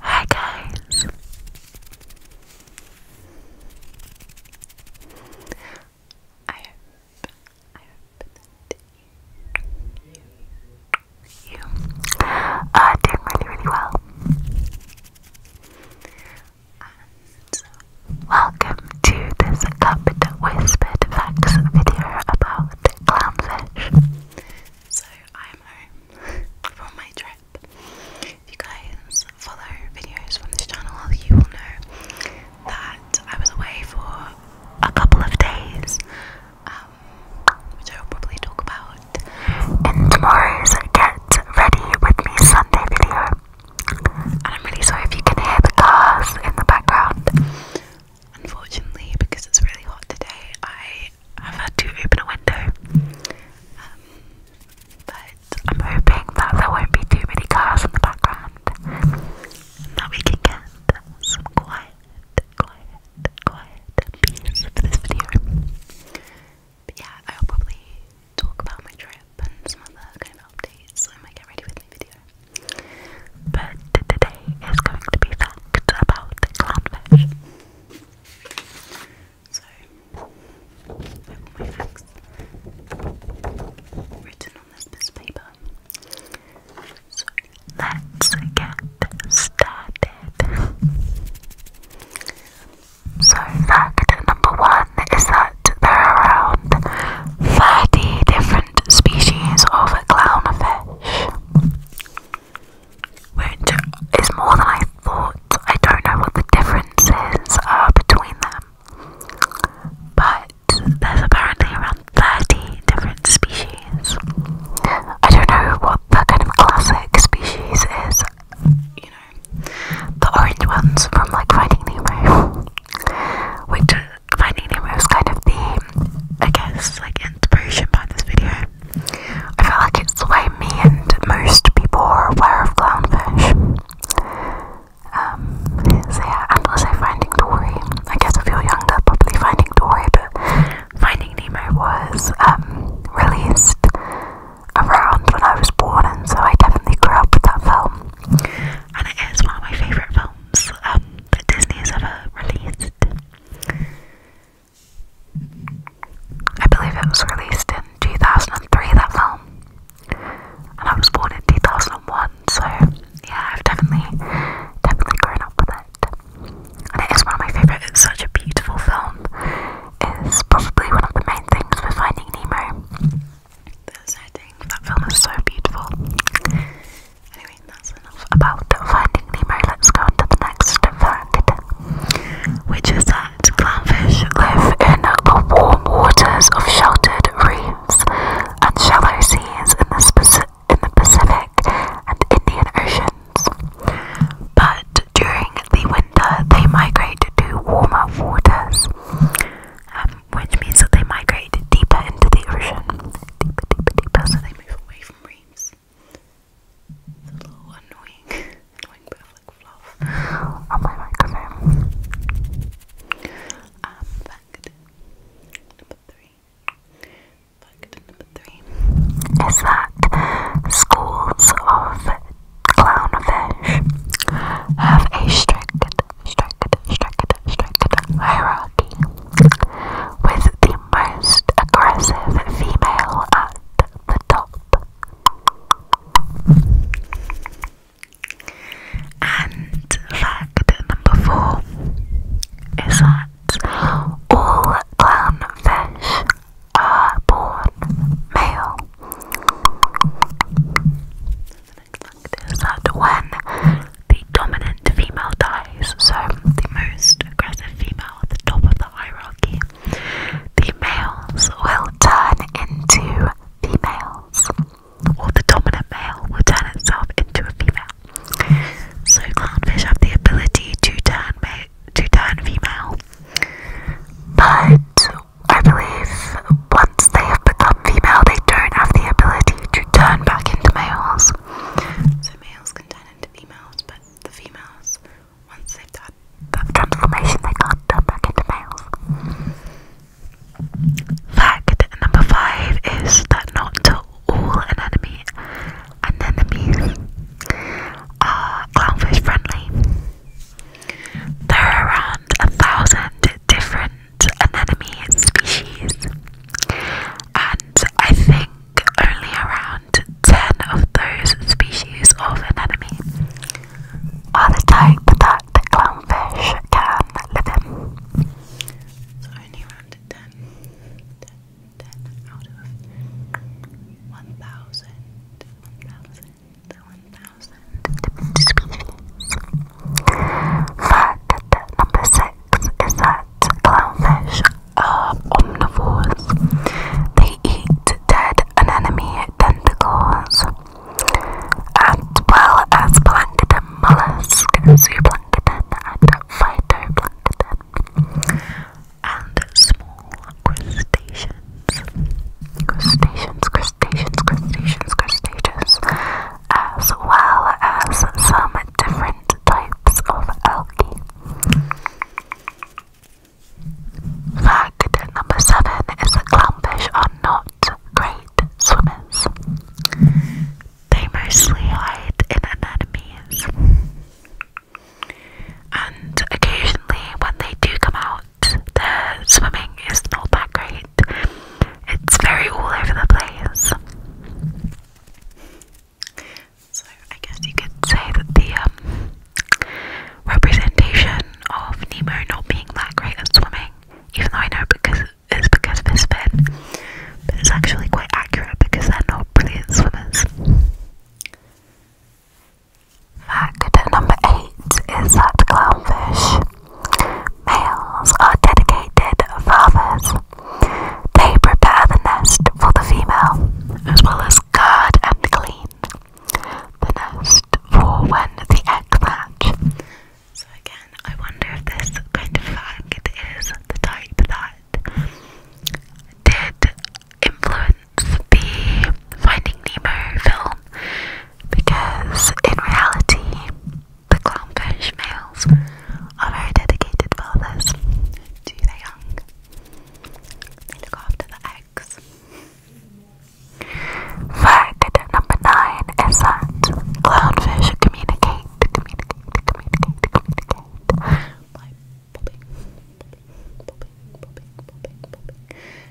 Hi guys. I hope I hope that you you are doing really really well. And welcome to this Cupid Whispered Facts video about so I'm home from my trip. If you guys follow videos from this channel, you will know that I was away for a couple of days, um, which I will probably talk about in tomorrow's Get Ready With Me Sunday video. I'm really sorry if you can hear the cars in the background. Unfortunately, because it's really hot today, I have had to open a window. Um, but I'm hoping that there won't be too many cars in the background that we can get some quiet, quiet, quiet peace for this video. But yeah, I'll probably talk about my trip and some other kind of updates when I get ready with my video. But today is going to be facts about clownfish. So, I have my facts written on this piece of paper. So, let's get started. So, fact number one is that there are around 30 different species of clownfish, which is more than I thought. I don't know what the differences are uh, between them, but there's apparently around 30 different species. I don't know what the kind of classic species is, you know, the orange ones from like Finding Nemo, which Finding Nemo was kind of the, I guess, like inspiration behind this video. I feel like it's the way me and most people are aware of clownfish. Um, so yeah, and also Finding Dory. I guess if you're younger, probably Finding Dory, but Finding Nemo was um, released around when I was born, and so I definitely grew up with that film. And it is one of my favourite films films um, that Disney's ever released. I believe it was released in 2003, that film. And I was born in 2001, so yeah, I've definitely, definitely grown up with it. And it is one of my favourite, it's such a beautiful film. It's probably one of the main things for Finding Nemo. The setting that film is so beautiful. Anyway, that's enough about Finding Nemo. Let's go on to the next fact, which is that clownfish live in the warm waters of sheltered reefs and shallow seas in the, Pacific and Indian Oceans. But during the winter, they migrate to warmer waters which means that they migrate deeper into the ocean. Deeper, deeper, deeper, so they move away from reefs. a little annoying, annoying bit like fluff on oh my microphone. Um, fact number three. Fact number three is that schools of clownfish have a strict structured, structured, structured hierarchy, with the most aggressive female at the top. And fact number four is that all clownfish are born male is that when the dominant female dies, so the most aggressive female at the top of the hierarchy, the males will turn into females, or the dominant male will turn itself into a female. So clownfish have the ability to turn to turn female, but I believe once they have become female, they don't have the ability to turn back into males. So males can turn into females, but the females, once they've done that transformation, they can't turn back into males. Fact number five is that not all anemone anemones are clownfish friendly. There are a thousand different anemone species, and I think only around 10 of those species of anemone are the type that the clownfish can live in. So, only around 10, out of 1,000. Fact number 6 is that clownfish are omnivores. They eat dead and enemy tentacles as well as plankton mollusk, zooplankton and phytoplankton and small crustaceans crustaceans, crustaceans, crustaceans, crustaceans, as well as some different types of algae. Fact number seven is that clownfish are not great swimmers. They mostly hide in anemones. And occasionally, when they do come out, the swimming is not that great. It's very all over the place. So I guess you could say that the um, representation of Nemo not being that great at swimming, even though I know because it's because of his fin, but it's actually quite accurate because they're not brilliant swimmers. Fact number eight is that clownfish males are dedicated fathers. They prepare the nest for the female, as well as guard and clean the nest for when the eggs hatch. So again, I wonder if this kind of fact is the type that did influence the Finding Nemo film because in reality, the clownfish males are very dedicated fathers to their young. They look after the eggs. Fact number nine is that clownfish communicate,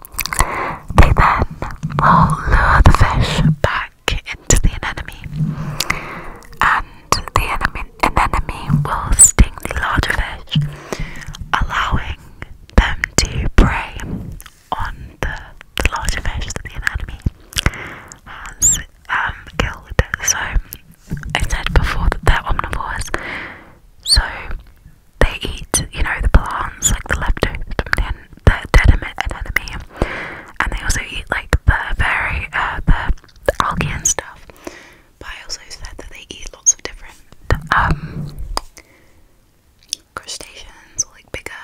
they then will lure the fish back into the anemone, and the anemone, will sting the larger fish, allowing them to prey on the, larger fish that the anemone has um, killed. So I said before that they're omnivores, so they eat, you know, the plants, like the leftovers from the, en the dead and they also eat like the very uh, the, algae and stuff. But I also said that they eat lots of different um, crustaceans or like bigger,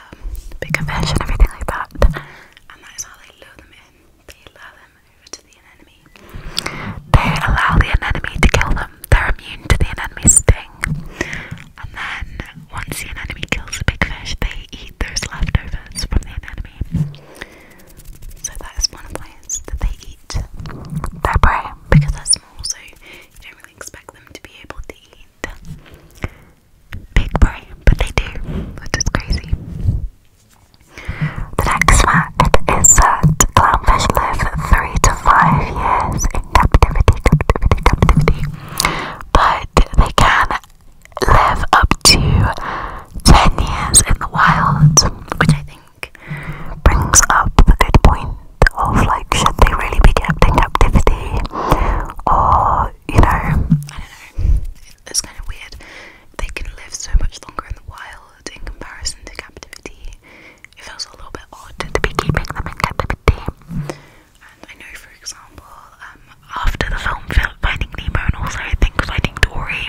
bigger fish and everything like that, and that is how they lure them in. They lure them over to the anemone. They allow the anemone to kill them they're immune to the anemone sting. And then once the anemone kills a big fish, they eat those leftovers from the anemone. So that is one of the plants that they eat their prey because they're small, so you don't really expect them to be able to eat big prey, but they do, which is crazy. The next fact is that clownfish live three to five years but they can live up to 10 years in the wild, which I think brings up the good point of like, should they really be kept in captivity? Or, you know, I don't know, it's kind of weird. They can live so much longer in the wild in comparison to captivity, it feels a little bit odd to be keeping them in captivity. And I know, for example, um, after the film Finding Nemo and also I think Finding Dory,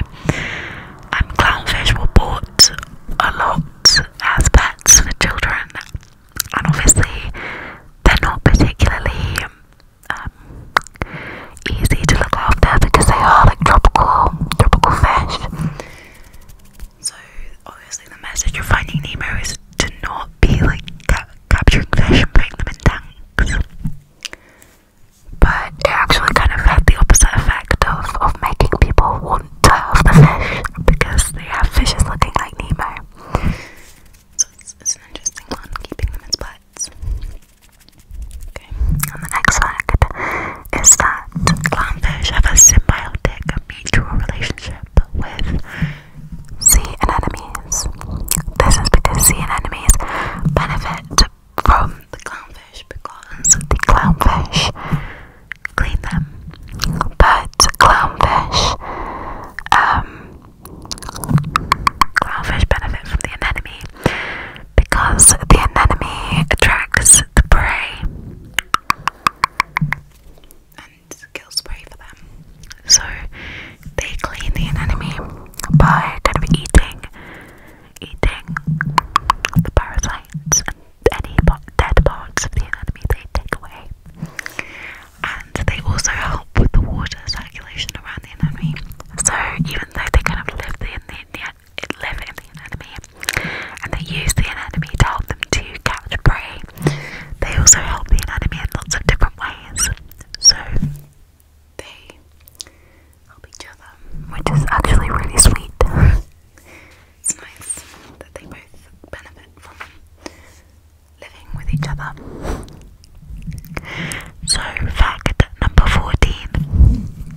um, clownfish were bought a lot as pets for children, and obviously they're not particularly um, easy to look after because they are like tropical, tropical fish. So obviously the message of Finding Nemo is to not be like capturing fish and putting them in tanks. But it actually kind of had the opposite effect of, of making people want to have the fish because they have fishes looking like Nemo. So it's, it's an interesting one, keeping them in splits. Okay, and the next fact is that clownfish have a symbiotic mutual relationship with sea anemones. This is because sea anemones benefit from the clownfish because the clownfish clean them. But clownfish, um, clownfish benefit from the anemone because the anemone attracts the prey and kill spray for them. So they clean the enemy by kind of eating, eating the parasites and any dead parts of the enemy they take away. And they also help with the water circulation around the enemy. So even though they kind of live in the, the it in the anatomy and they use the anatomy to help them to catch prey. They also help the anatomy in lots of different ways. So they help each other, which is actually really sweet. it's nice that they both benefit from living with each other. So, fact number 14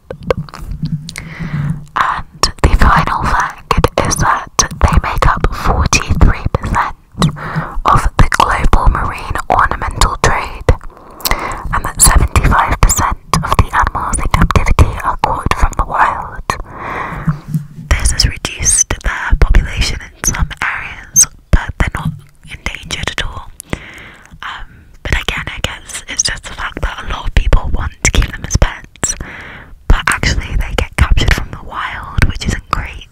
And the final fact is that they make up 43% of the global marine ornamental trade, and that 75% of the animals in captivity are caught from the wild. This has reduced their population in some areas, but they're not endangered at all. Um, but again, I guess it's just the fact that a lot of people want to keep them as pets but actually they get captured from the wild, which isn't great.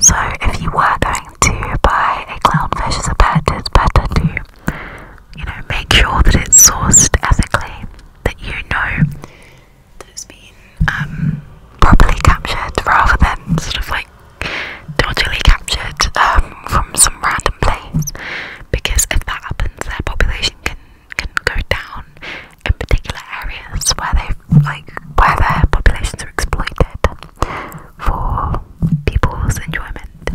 So, if you were going to buy a clownfish as a pet, it's better to, you know, make sure that it's sourced ethically, that you know that it's been um, properly captured rather than sort of like dodgily captured um, from some random place. Because if that happens, their population can can go down in particular areas where they like where their populations are exploited for people's enjoyment.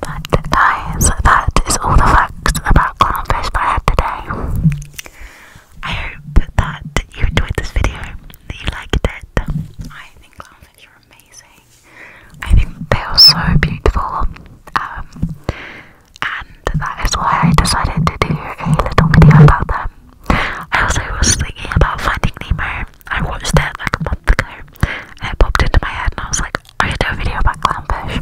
But guys, that is all the facts about clownfish that today. I hope that you enjoyed this video, that you liked it. I think clownfish are amazing. I think they are so beautiful, um, and that is why I decided to do a little video about them. I also was thinking about Finding Nemo. I watched that like a month ago, and it popped into my head, and I was like, I should do a video about clownfish.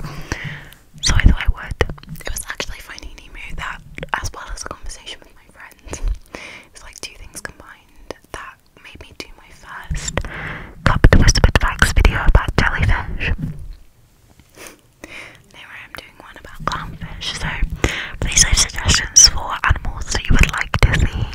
So I thought I would. It was actually Finding Nemo that, as well as a conversation with my friends, it's like two things combined that that made me do my first cupped whispered facts video about jellyfish. anyway, I'm doing one about clownfish, so please leave suggestions for animals that you would like to see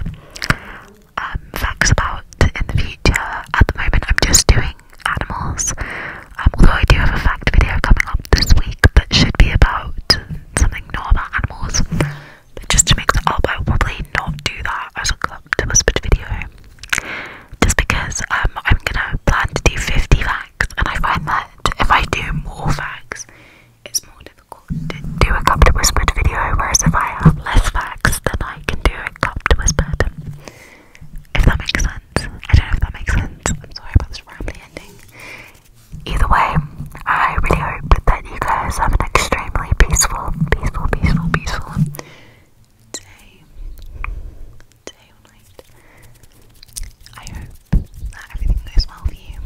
um, facts about in the future. At the moment, I'm just doing animals, um, although I do have a fact video coming up this week that should be about something normal animals just to make the up, I will probably not do that as a to a split video. Just because um, I'm gonna plan to do 50 facts, and I find that if I do more facts, it's more difficult to do a cup to whispered video. Whereas if I have less facts, then I can do a cup to If that makes sense, I don't know if that makes sense. I'm sorry about this rambly ending. Either way. I really hope that you guys have an extremely peaceful, peaceful, peaceful, peaceful day, day or night. I hope that everything goes well for you.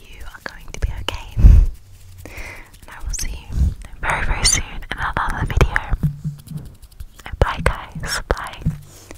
You are going to be okay. And I will see you very, very soon in another video. And bye, guys. Bye.